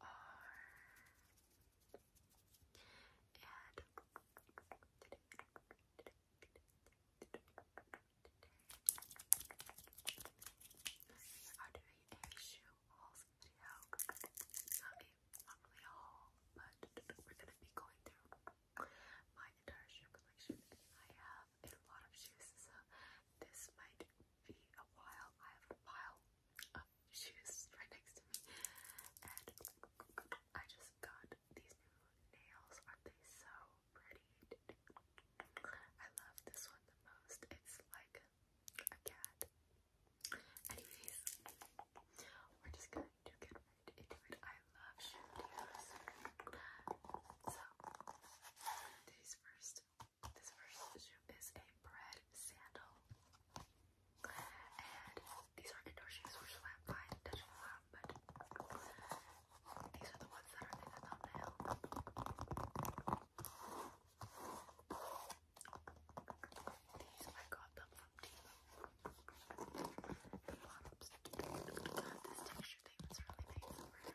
are. And I'm doing a shoe hauls video. Not a, not haul, but we're gonna be going through my entire shoe collection. I have a lot of shoes, so this might be a while. I have a pile of shoes right next to me, and I just got these nails. are they so pretty? I love this one the most. It's like a cat. Anyways, we're just going to get right into it. I love shoe So, these first. This first shoe is a bread sandal. And these are indoor shoes which flat fine, touching the lap, but these are the ones that are in the thumbnail. These I got them from Timo. this texture thing that's really nice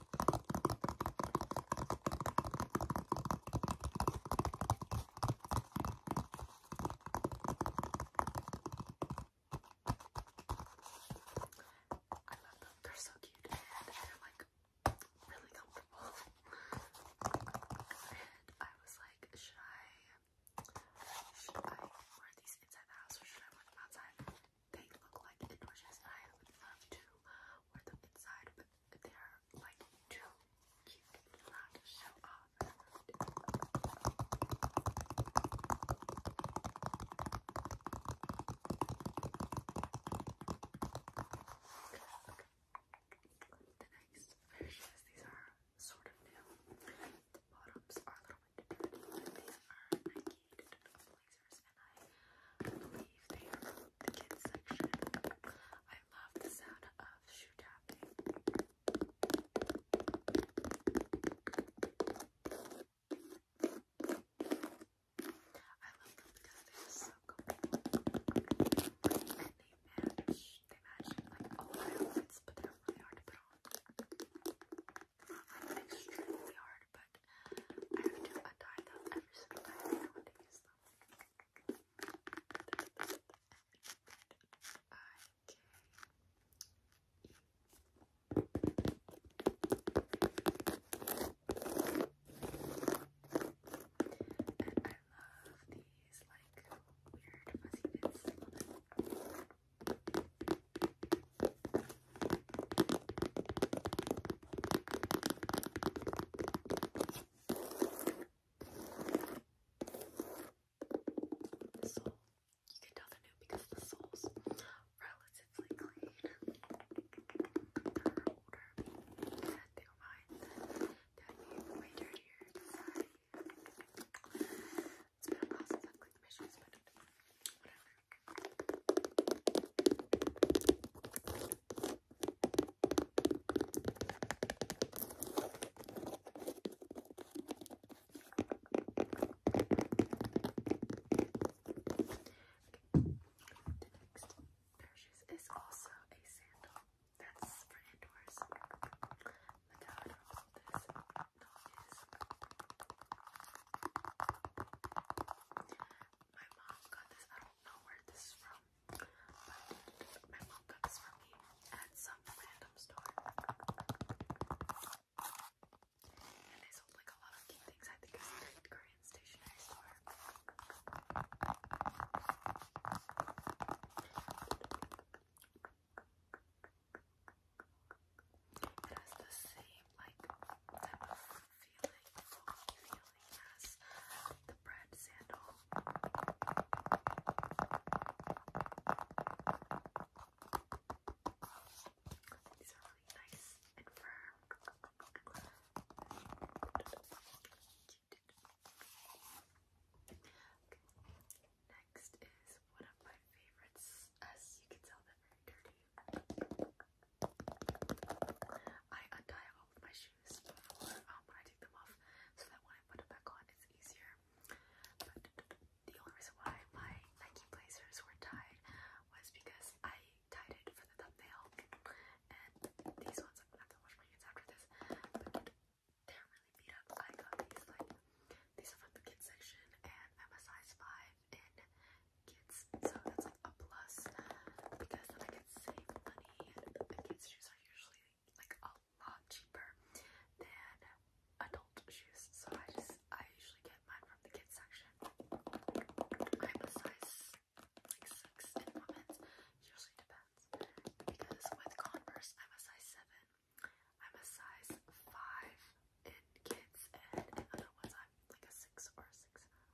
I love them. They're so cute and they're like really comfortable. and I was like, should I should I wear these inside the house or should I wear them outside? They look like indoor and I would love to wear them inside, but they are like too cute not to show off. The next pair these are sort of new. The bottoms are a little bit different, these are Nike and I believe they are the kids section. I love the sound of shoe tapping. I love them they are so they match. They match like all my outfits, but they're really hard to put on. Not like extremely hard, but I have to untie them every single time I want to I love these like weird fuzzy bits. The You can tell they new because the sole's relatively clean. They're older. They were mine. They're way dirtier. Sorry. It's been a while since I've but whatever. The next pair is also a sandal. That's for indoors. My mom got this don't know where this is from, but my mom got for me at some random store. And they sold like a lot of cute things. I think it's a great Korean stationery store. It has the same like type feeling, feeling as the bread sandal. These really nice and firm. Next is one of my favorites. As you can tell, they're very dirty. I untie all of my shoes before um, when I take them off so that when I put them back on it's easier. the only reason why my Nike blazers were tied was because I tied it for the thumbnail. And these ones, I'm gonna have to wash my hands after this, but they're really beat up. I got these, like, these are from the kids section and I'm a size 5 in kids, so that's like a plus because then I can save money. The kids' shoes are usually like a lot cheaper than adult shoes, so I just I usually get mine from the kids section. I'm a size like six in women's, usually depends because with Converse I'm a size seven. I'm a size five in kids, and in other ones I'm like a six or a six. I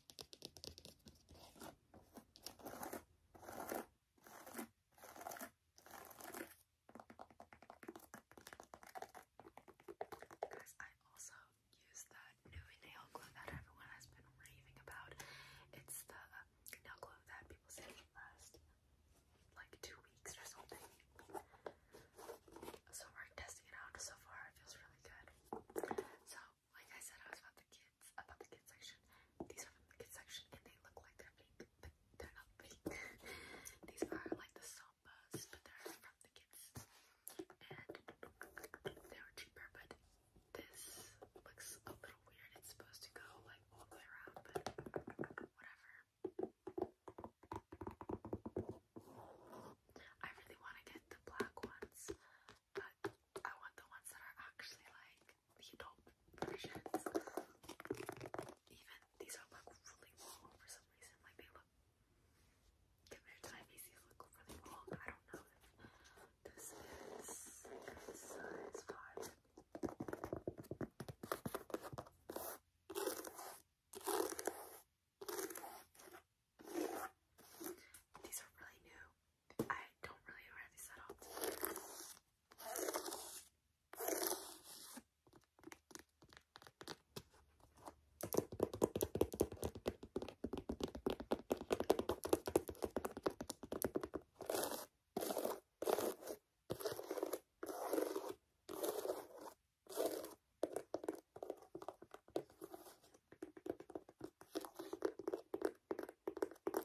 Guys, I also use that new nail glue that everyone has been raving about. It's the nail glue that people say lasts like two weeks or something. So we're testing it out so far. It feels really good. So like I said, I was about the kids, about the kids section. These are from the kids section, and they look like they're fake, but they're not fake. These are like the Sambas, but they're from the kids, and they were cheaper. But this looks a little weird. It's supposed to go like all the way around, but whatever. I really want to get the black ones, but I want the ones that are actually like the adult versions. Even these are really long for some reason. Like they look compared to my Macy's look really long. I don't know if this is size five. These are really new. I don't really wear these at all. And the next pair of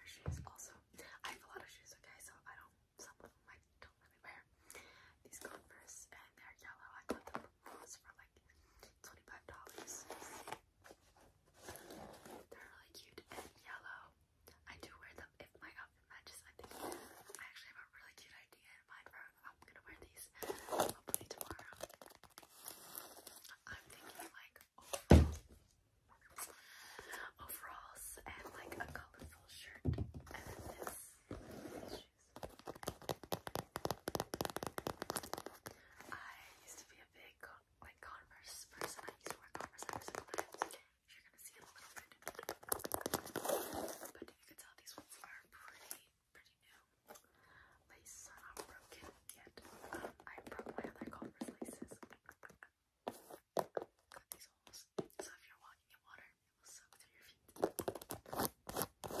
shoes also. I have a lot of shoes, okay, so I don't some of them I don't really wear. These Converse and they're yellow. I got them was for like twenty-five dollars. They're really cute and yellow. I do wear them if my outfit matches. I think I actually have a really cute idea in mind I'm gonna wear these hopefully tomorrow. I'm thinking like overalls, overalls and like a colorful shirt and then this. I used to be a big like Converse person. I used to wear Converse every single time. You're gonna see a little bit, but you can tell these ones are pretty, pretty new. Laces are not broken yet. Um, I broke my other Converse laces. these holes, so if you're walking in water, it will soak through your feet.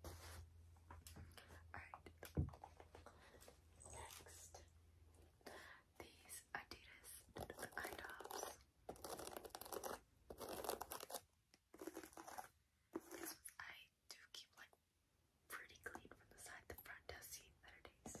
Alright. Next, these Adidas eye I do keep like pretty clean from the side. The front does seem better days.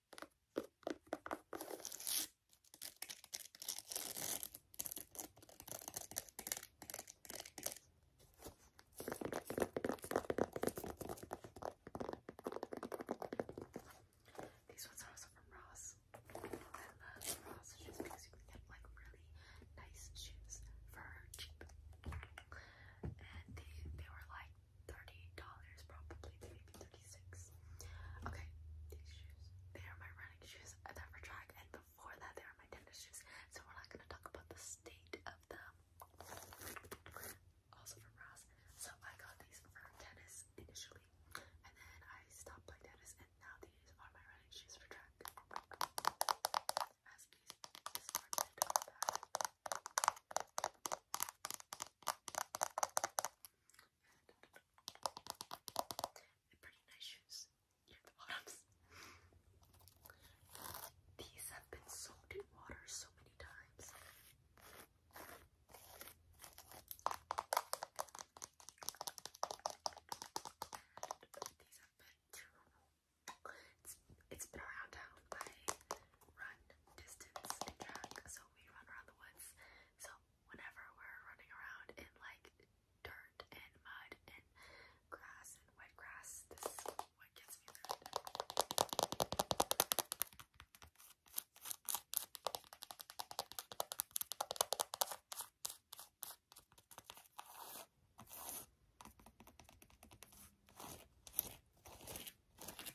These ones are also from Ross. I love Ross shoes because you get like really nice shoes for cheap. And they, they were like thirty dollars, probably maybe thirty-six. Okay, these shoes. They are my running shoes. They're for track, and before that, they are my tennis shoes. So we're not gonna talk about the state of them. Also from Ross. So I got these for tennis initially, and then I stopped playing tennis, and now these are my running shoes for track. They're pretty nice shoes. You bottoms. These have been soaked in water so many times. these have been it's, it's been around town. I run distance track, so so we run around the woods. So whenever we're running around in like dirt and mud and grass and wet grass, this is what gets me through it.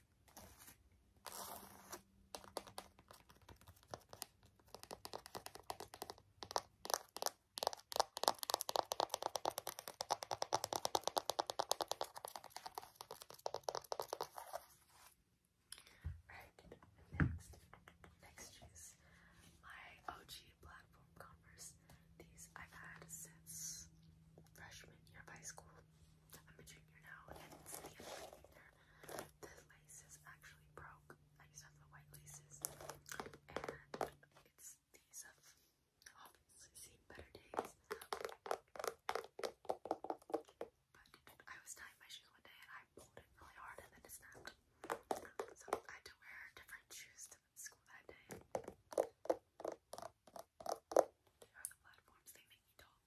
Alright, next. Next is my OG platform Converse. These I've had since freshman year of high school. I'm a junior now, and it's the end of actually broke. I used to have the white laces, and it's these um, obviously seen better days. But I was tying my shoes one day, and I pulled it really hard, and then it snapped. So I had to wear different shoes to school that day. They are the platforms they me talk.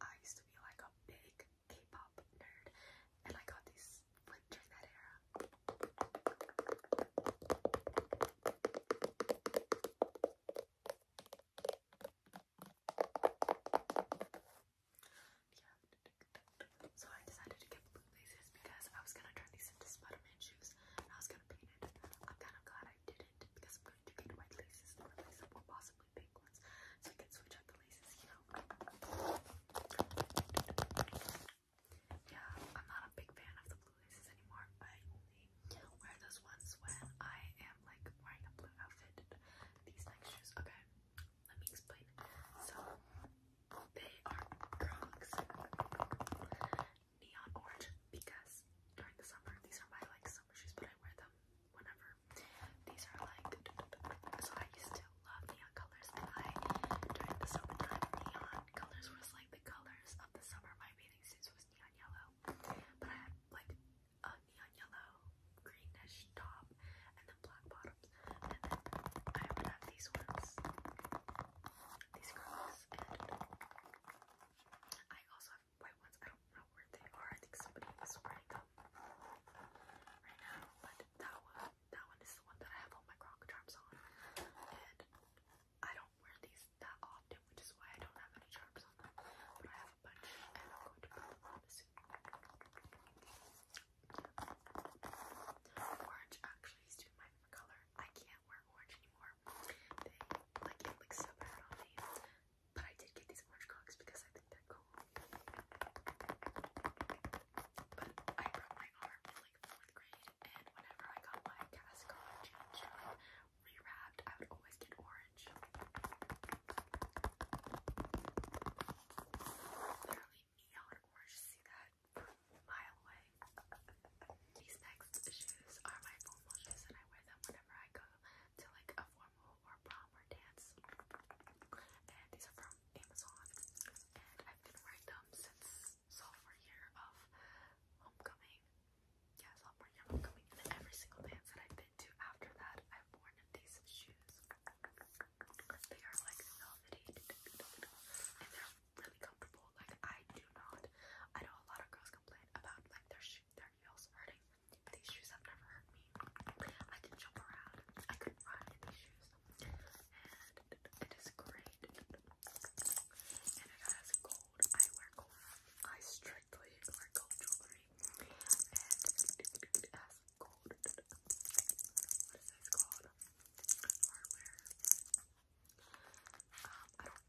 I used to be like a big K-pop nerd, and I got these like during that era. Yeah. So I decided to get blue laces because I was gonna turn these into Spider-Man shoes and I was gonna paint it. I'm kind of glad I didn't because I'm going to paint white laces and replace them boss so I can switch out the laces, you know. Yeah, I'm not a big fan of the blue laces anymore. I only wear those ones when I am like wearing a blue outfit. These next shoes, okay, let me explain. So, they are Crocs neon orange because during the summer, these are my like summer shoes, but I wear them whatever. These are like, so I used to love neon colors, I, during the summertime, neon colors was like the colors of the summer. My bathing suits was neon yellow, but I had like a neon yellow, greenish top, and then black bottoms. And then I would have these ones, these girls, and I also have white ones. I don't know where they are. I think somebody was wearing them right now. But that one, that one is the one that I have all my croc charms on. I don't wear these that often, which is why I don't have any charms on But I have a bunch and I'm going to put them on soon. Orange actually is my favorite color. I can't wear orange anymore. They like it looks so bad on me. But I did get these orange cocks because I think they're cool. But I broke my arm in like fourth grade, and whenever I got my cast on changed rewrapped, I would always get orange. Literally neon orange, see that mile away. These next shoes are my formal shoes, and I wear them whenever I go to like a formal or prom or dance. And these are from Amazon. And I've been wearing them since sophomore year of homecoming. Yeah, sophomore year of homecoming. every single dance that I've been to after that, I've worn these shoes. They are like velvety and they're really comfortable. Like I do not. I know a lot of girls complain about like their their heels hurting. These shoes have never hurt me. I can jump around. I can run in these shoes. And it is great. And it has gold. I wear gold. I strictly wear gold jewelry. And it has gold. What is this called? Hardware. Um, I don't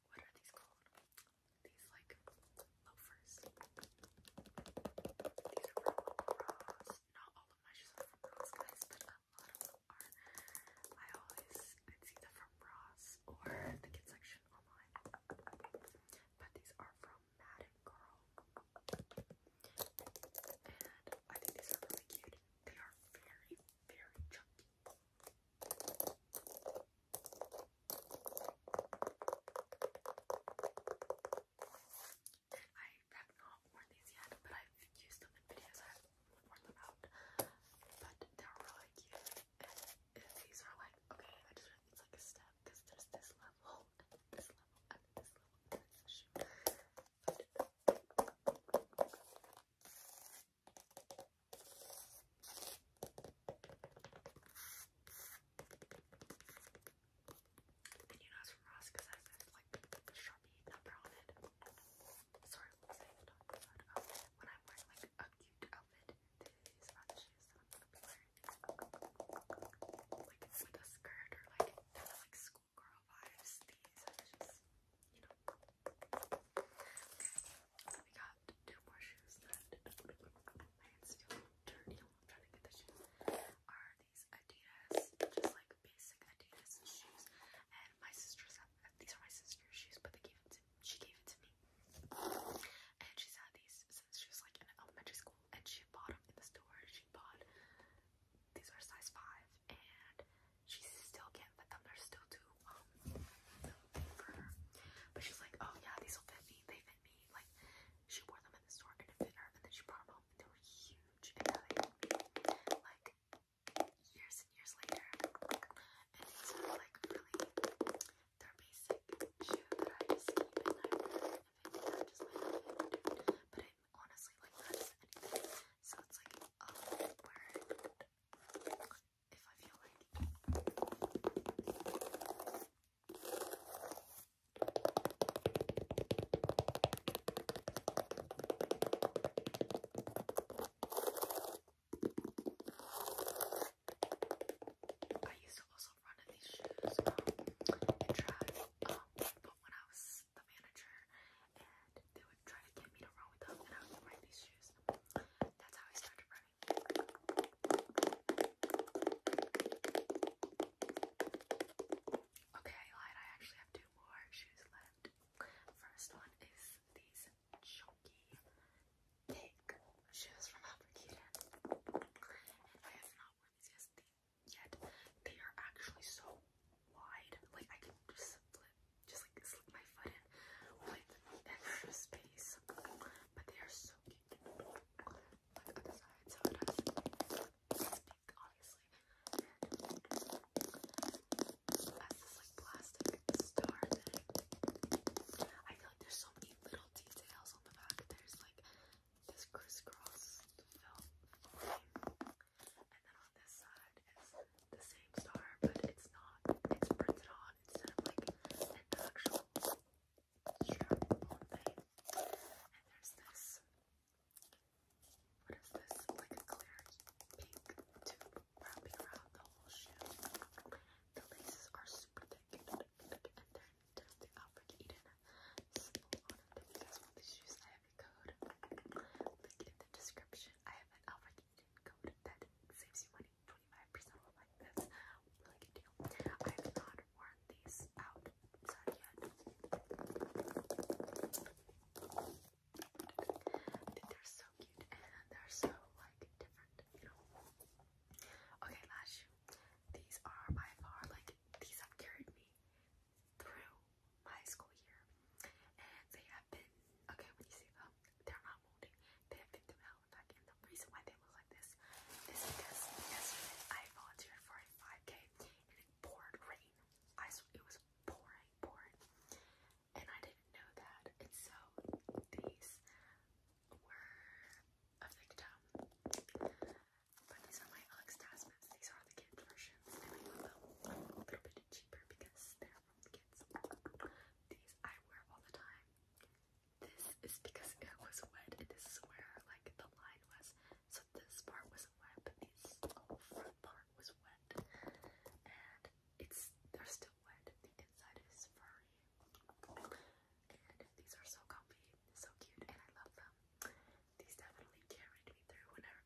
what are these called? These like loafers. These are from Ross. Not all of my shoes are from Ross, guys, but a lot of them are. I always it's either from Ross or the kids section online. But these are from Madden Girl. And I think these are really cute. They are very, very chunky. I have not worn these yet, but I've used them in videos. I have worn them out, but they're really cute. these are like okay, it's like a step because there's this level, this level, and this level, and you know it's from Ross because it has this like sharpie number on it. Sorry, oh, when I'm like a cute outfit, these are I'm gonna be wearing. Like with a skirt or like kind of like schoolgirl vibes. These you know. We got two more shoes that my hands feel dirty. I'm trying to get the shoes. Are these Adidas, just like basic Adidas shoes? And my sister's these are my sister's shoes, but they gave it to she gave it to me. And she's had these since she was like in elementary school, and she bought them in the store. She bought these are size five, and she still can't fit them. They're still too um for her. But she's like, oh yeah, these will fit me. They fit me. Like she wore them in the store and it fit her, and then she brought them home they were huge. Like years and years later. And it's like really they're basic shoe that I just keep and I and fit me. just like but it honestly like that is So it's like um if I used to also run in these shoes um, and drive, um, but when I was the manager and they would try to get me to run with them, and I would wear these shoes. That's how I started running. Okay, I lied. I actually have two more shoes left. First one is these chunky, thick shoes from Albert I have not worn these yet. They are actually so wide. Like I can just flip, just like slip my foot in like extra space. But they are so cute. Look at the side, so it has obviously. And that's like plastic star I feel like there's so many little details on the back. There's like this crisscross film. And then on this side is the same star, but it's not, it's printed on instead of like an actual strap thing. And there's this, what is this? Like a clear pink tube wrapping around the whole shoe. The laces are super thick and they're testing out for Eden. So, a lot That's what these shoes I code. Link in the description. I have an Alfred code that saves you money 25% off. Like that's really good deal. I have not worn these out yet. They're so cute and they're so like different, you know. Okay, last shoe. These are by far like these have carried me through my school year, and they have been okay. When you see them, oh, they're not molding. They have been through the reason why they look like this is because yesterday I volunteered for a 5K and it poured rain. I it was pouring, pouring, and I didn't know that. And so these were of victim. But these are my Alex Tasman's. These are the kid versions. I love them. a little bit cheaper because they're these I wear all the time. This is because it was wet, and this is where like the line was. So this part wasn't wet, but this front part was wet, and it's they're still wet. The inside is furry, and these are so comfy, so cute, and I love them. These definitely carried me through whenever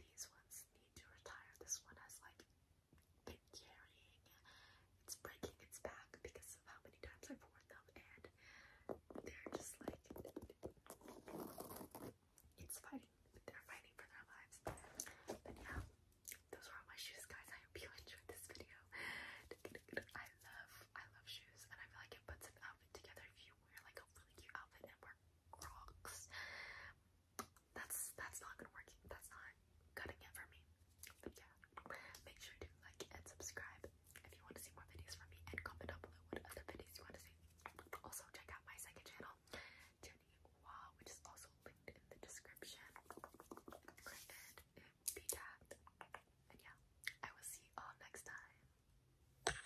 these ones need to retire. This one has like been carrying, it's breaking its back because of how many times I've worn them, and they're just like it's fighting. They're fighting for their lives. But yeah, those are all my shoes, guys. I hope you enjoyed this video. I love, I love shoes, and I feel like it puts an outfit together if you wear like a really cute outfit and wear rocks. That's that's not gonna work. That's not cutting it for me. But yeah, make sure to like and subscribe if you want to see more videos from me, and comment down below what other videos you want to see. Also, check out my second channel, Jenny Wah, which is also linked in the description. And uh, be tagged. And yeah, I will see you all next time.